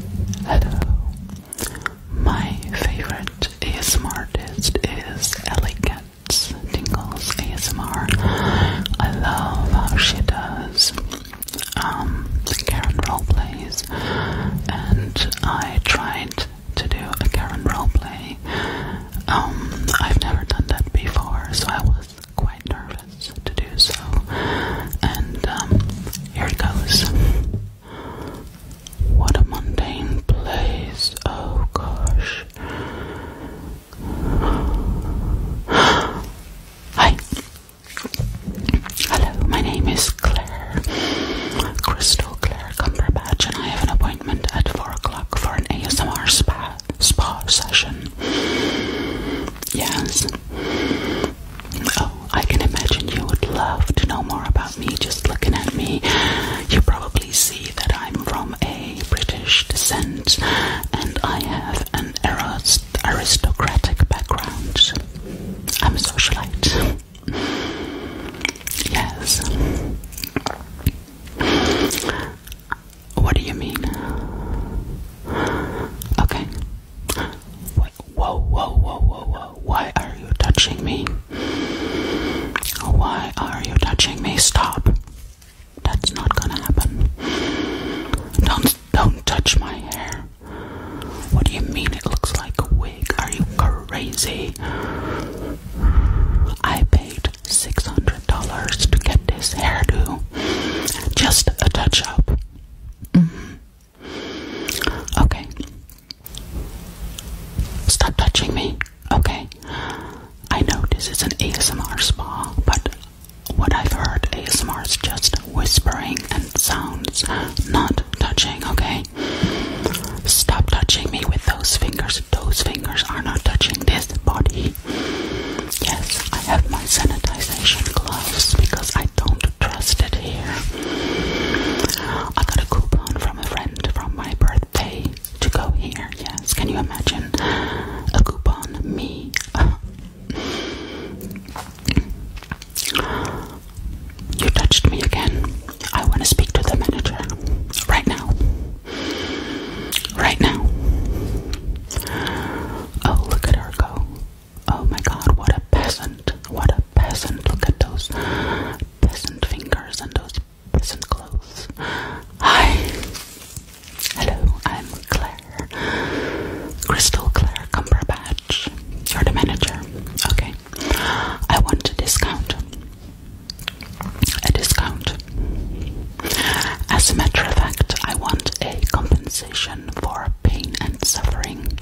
Hello. My favorite ASMR artist is Ellie Katz, Tingles ASMR. I love how she does um, the Karen roleplays, and I tried to do a Karen play. Um, I've never done that before, so I was quite nervous to do so. And um, here it goes. What a mundane place. Oh gosh. Hi. Hello, my name is Claire. Crystal Claire Cumberbatch, and I have an appointment at 4 o'clock for an ASMR spa, spa session. Yes. Oh, I can imagine you would love to know more about me just looking at me. You probably see that I'm from a British descent and I have an aristocratic background. I'm a socialite. Yes. What do you mean? Okay. Whoa, whoa, whoa, whoa, whoa. Why are you touching me? Why are you touching me? Stop. That's not gonna happen. Don't don't touch my hair. What do you mean it looks like a wig? Are you crazy? I paid $600 to get this hairdo. Just a touch up. Mm-hmm. Okay. Stop touching me. Okay. I know this is an ASMR spa, but what I've heard ASMR is just whispering and sounds, not touching, okay? Stop touching me with those fingers. Those fingers are not touching this body Yes, I have my sanitization gloves because I don't trust it here. I got a coupon from a friend from my birthday to go here. Yes, can you imagine a coupon? Me. You touched me again. I want to speak to the manager right now right now. Oh, look at her go. Oh my god, what a peasant. What a peasant. Look at those peasant fingers and those peasant clothes. Hi. Hello, I'm Claire. Crystal Claire Cumberbatch. You're the manager. Okay. I want a discount. A discount. As a matter of fact, I want a compensation for pain and suffering.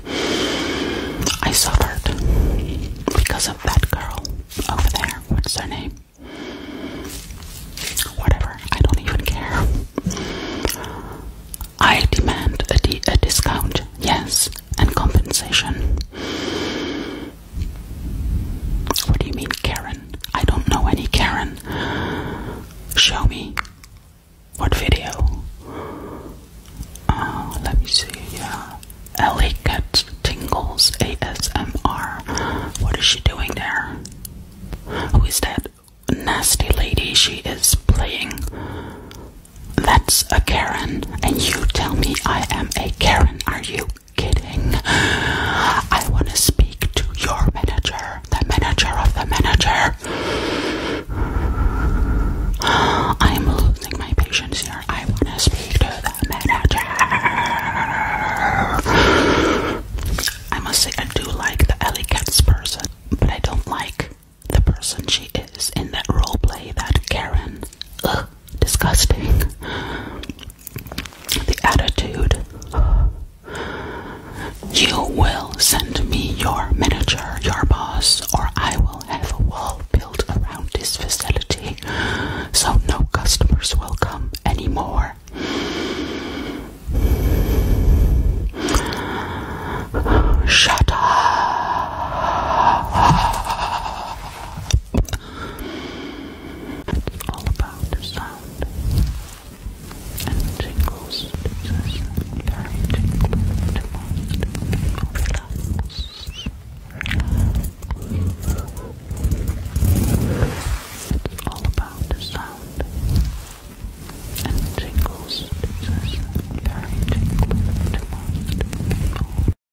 I suffered because of that girl over there. What's her name? Whatever, I don't even care. I demand a, a discount, yes, and compensation. What do you mean, Karen? I don't know any Karen. Show me. What video? Uh, let me see. Yeah. Ellie gets Tingles ASMR. What is she doing there? Who is that nasty lady she is playing? That's a Karen. And you tell me I am a Karen, are you? kidding. I want to speak to your manager, the manager of the manager. I am losing my patience here. I want to speak to the manager. I must say, I do like the Ellie Cats person, but I don't like the person she is in that role play, that Karen disgusting. The attitude You will send me your manager, your boss, or I will have a wall built around this facility so no customers will come anymore. Shut up all about the sound and tingles just very tingling to most people it's all about the sound and tingles just very tingling to most people